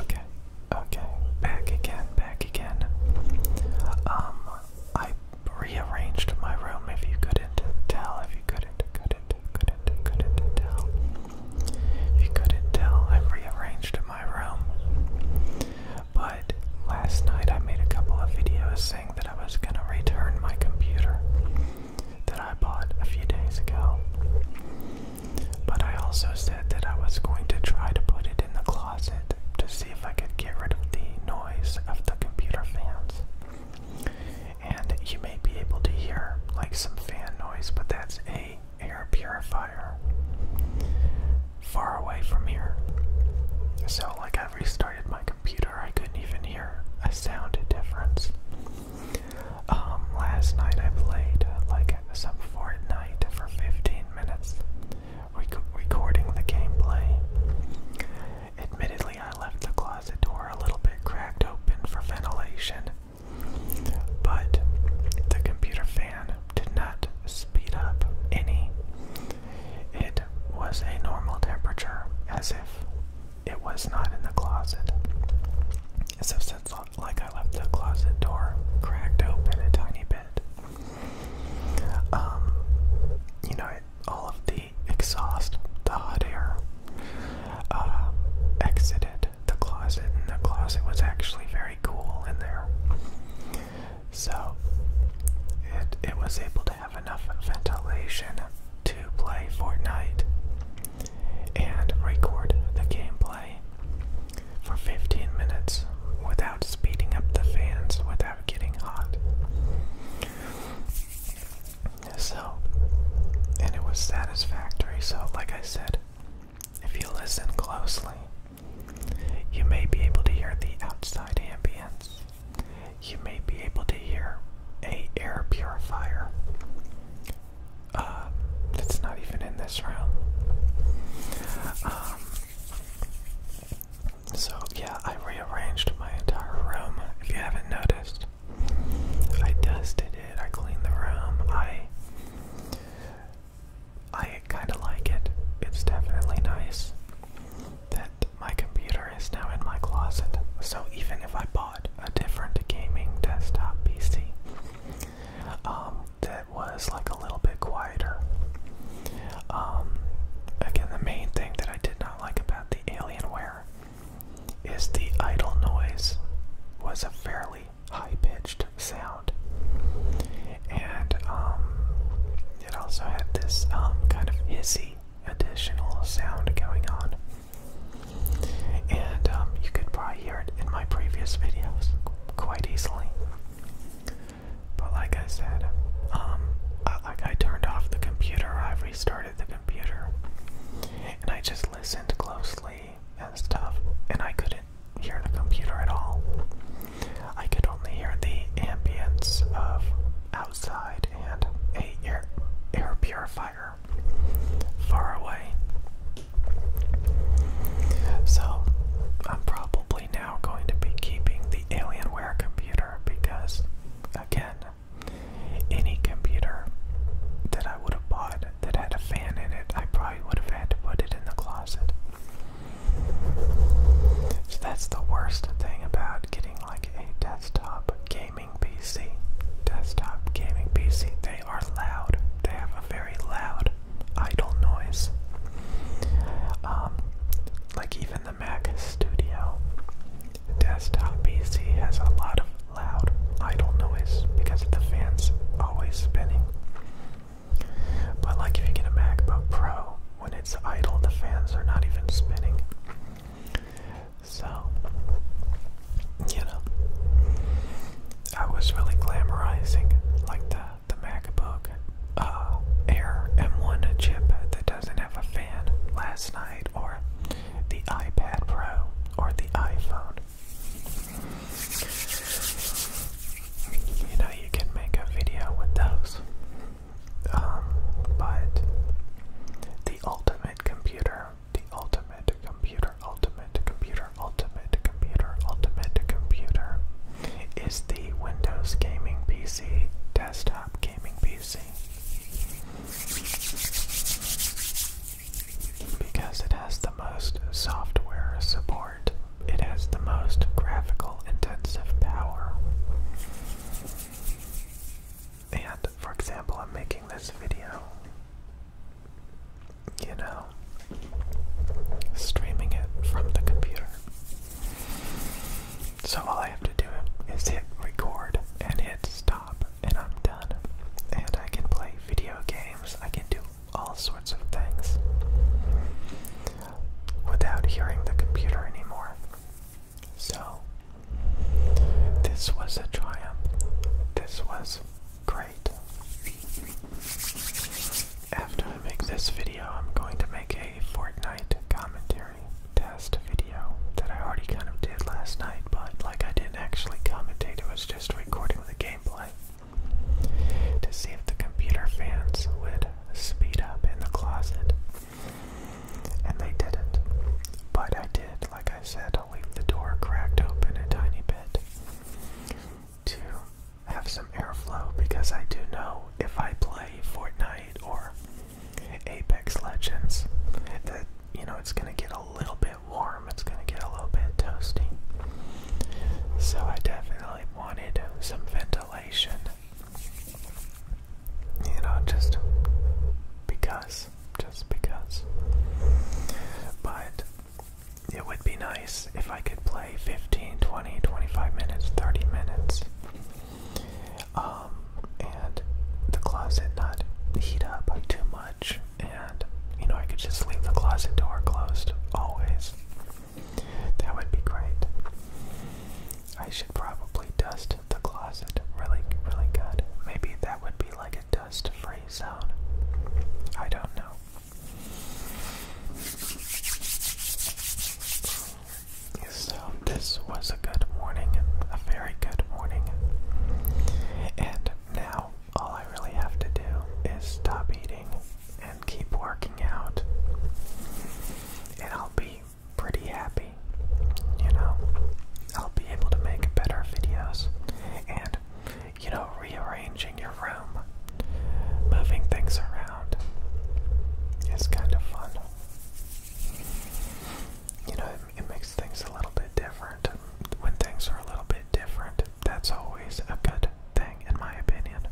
Okay, okay, back again, back again. Um, I rearranged my room if you couldn't tell, if you couldn't, couldn't, couldn't, couldn't tell. If you couldn't tell, I rearranged my room. But last night I made a couple of videos saying that I was gonna return my computer that I bought a few days ago. But I also said that I was going to try to put it in the closet to see if I could get rid of the noise of the computer fans. And you may be able to hear like some fan noise, but that's a air purifier far away from here. So like I restarted my computer, I couldn't even hear a sound difference. Um, last night I played uh, like some Fortnite for 15 minutes, recording the gameplay. Admittedly, I left the closet door a little bit cracked open for ventilation, but the computer fan did not speed up any. It was a normal temperature, as if it was not in the closet. So, since like I left the closet door cracked open a tiny bit. Um, you know, all of the exhaust, the hot air, uh, exited the closet, and the closet was actually very cool in there. So it it was able to have enough ventilation to play Fortnite and record the gameplay for 15 minutes without speeding up the fans, without getting hot. So, and it was satisfactory. So, like I said, if you listen closely, you may be able to hear the outside ambience. You may be able to hear a air purifier uh, that's not even in this round. Um, so, yeah, I rearranged my entire room. If you haven't noticed, I dusted it, I cleaned the room, I. I kind of like it. It's definitely nice that my computer is now in my closet. So even if I bought a different gaming desktop PC, um, that was like a little bit quieter. Um, again, the main thing that I did not like about the Alienware is the idle noise was a fairly high pitched sound, and um, it also had this um, kind of hissy additional sound going on and um, you could probably hear it in my previous videos quite easily. But like I said, um, I, turned off the computer, I restarted the computer, and I just listened closely and stuff, and I couldn't hear the computer at all. I could only hear the ambience of outside and a air, air purifier far away. So, I'm probably now going to be keeping the Alienware computer because, again, any computer that I would have bought that had a fan in it, I probably would have had to put it in the closet. So, that's the worst thing about getting like a desktop gaming PC. Desktop gaming PC, they are loud. They have a very loud idle noise. Um, like even the Mac Studio desktop PC has a lot of loud idle noise because the fans always spinning. But like if you get a MacBook Pro, when it's idle the fans are not even spinning. So you know, I was really glamorizing like the the MacBook uh, Air M1 chip that doesn't have a fan last night, or the iPad Pro, or the iPhone. You know, you can make a video with those. Um, but the ultimate computer, the ultimate computer ultimate computer, ultimate computer, ultimate computer is the Windows gaming PC, desktop gaming PC. Because it has the most software support, it has the most graphical intensive power. And for example, I'm making this video you know, streaming it from the computer. So all I have to do is hit record and hit stop, and I'm done. And I can play video games, I can do all sorts of things without hearing the computer anymore. So, this was a triumph. This was Great. After I make this video, I'm going to make a Fortnite commentary test video that I already kind of did last night, but like I didn't actually commentate, it was just recording the gameplay to see if the computer fans would speed up in the closet. And they didn't. But I did, like I said, I'll leave the door cracked open a tiny bit to have some airflow because I do know if I play Fortnite or Apex Legends that you know it's gonna get a little bit warm, it's gonna get a little bit toasty. So I definitely wanted some ventilation. You know, just because. Just because. But it would be nice if I could play 15, 20, 25 minutes, 30 minutes. Um, and the closet not heat up too much, and you know, I could just leave the closet door closed always. That would be great. I should probably dust the closet really, really good. Maybe that would be like a dust free zone. I don't know. So, this was a good morning, a very good morning. And now, all I really have to do is stop eating and keep working out. And I'll be pretty happy, you know. I'll be able to make better videos. And you know, rearranging your room, moving things around is kind of fun. You know, it, makes things a little bit different. When things are a little bit different, that's always a good thing, in my opinion.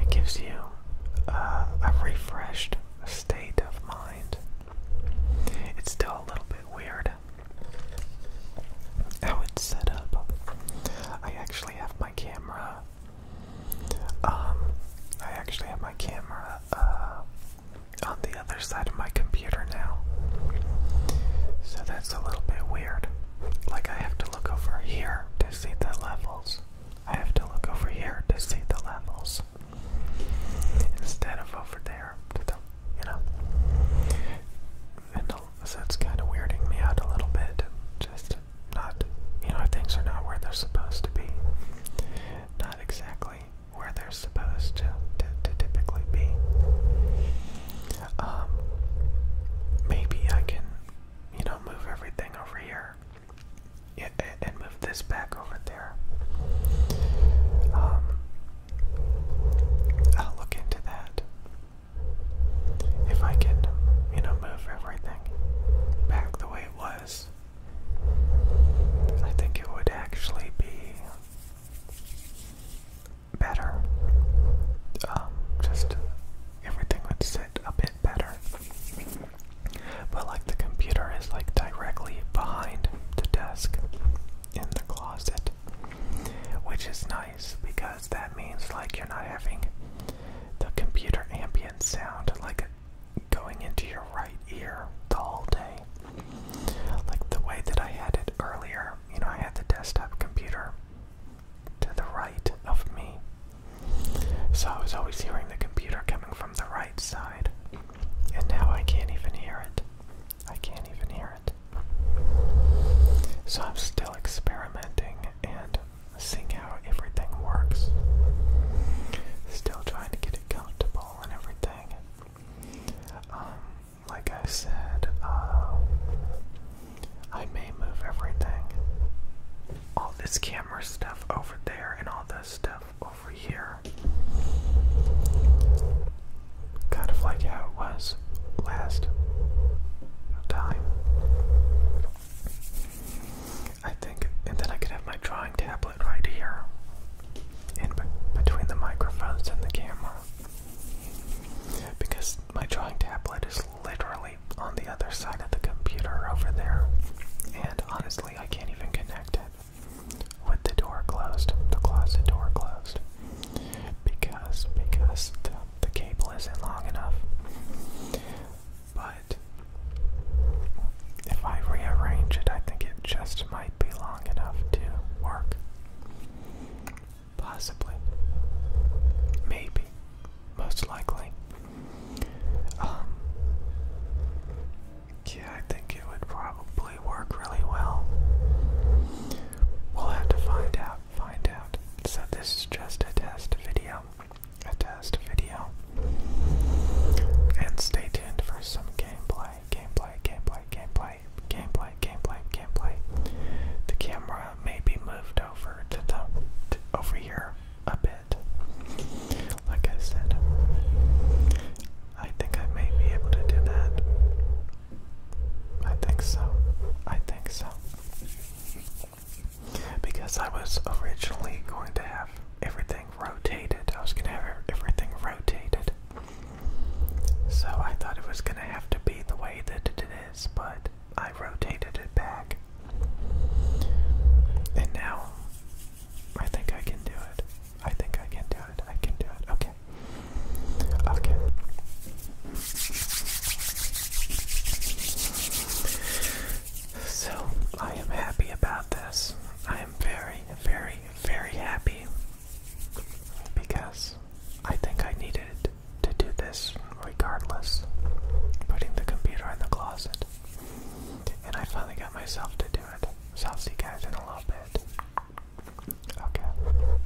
It gives you uh, a refreshed state of mind. It's still a little bit weird how it's set up. I actually have my camera. Um, I actually have my camera uh, on the other side of my computer now. So that's a little bit weird. Like, I have to look over here to see the levels. I have to look over here to see the levels. Instead of over there you know. And a that's kind of weirding me out a little bit. Just not, you know, things are not where they're supposed to be. Not exactly where they're supposed to, to, to typically be. Um, maybe I can, you know, move everything over here and, and move this back over there. Um, I'll look into that. If I could, you know, move everything back the way it was, I think it would actually be better. Um, just everything would sit a bit better. But like the computer is like directly behind the desk in the closet, which is nice because that means like you're not having the computer ambient sound like going into your right ear the whole day. Like the way that I had it earlier, you know, I had the desktop computer to the right of me. So I was always hearing the computer coming from the right side. And now I can't even hear it. I can't even hear it. So I'm still experimenting and seeing how everything works. Still trying to get it comfortable and everything. Um, like I said, uh, I may move everything. All this camera stuff over there and all this stuff over here. Kind of like how it was last time. I think, and then I could have my drawing tablet right here in between the microphones and the camera. Because my drawing tablet is literally on the other side of the computer over there, and honestly, I can't even connect it with the door closed, the closet door closed because because the, cable isn't long enough. But if I rearrange it, I think it just might be long enough to work. Possibly. Maybe. Most likely. Um, yeah, I think it would probably work really well. We'll have to find out. So this is just a test video. A test video. And stay tuned for some gameplay. Gameplay, gameplay, gameplay, gameplay, gameplay, gameplay. The camera may be moved over to the over here a bit. Like I said. I think I may be able to do that. I think so. I think so. Because I was originally going to have everything rotated. I was going to have everything rotated. So I thought it was going to have to be the way that it is, but I rotated it back. And now I think I can do it. I think I can do it. I can do it. Okay. Okay. So, I am happy about this. I am very, very, very happy because I think I needed to do this regardless. Putting the computer in the closet. And I finally got myself to do it. So, I'll see you guys in a little bit. Okay.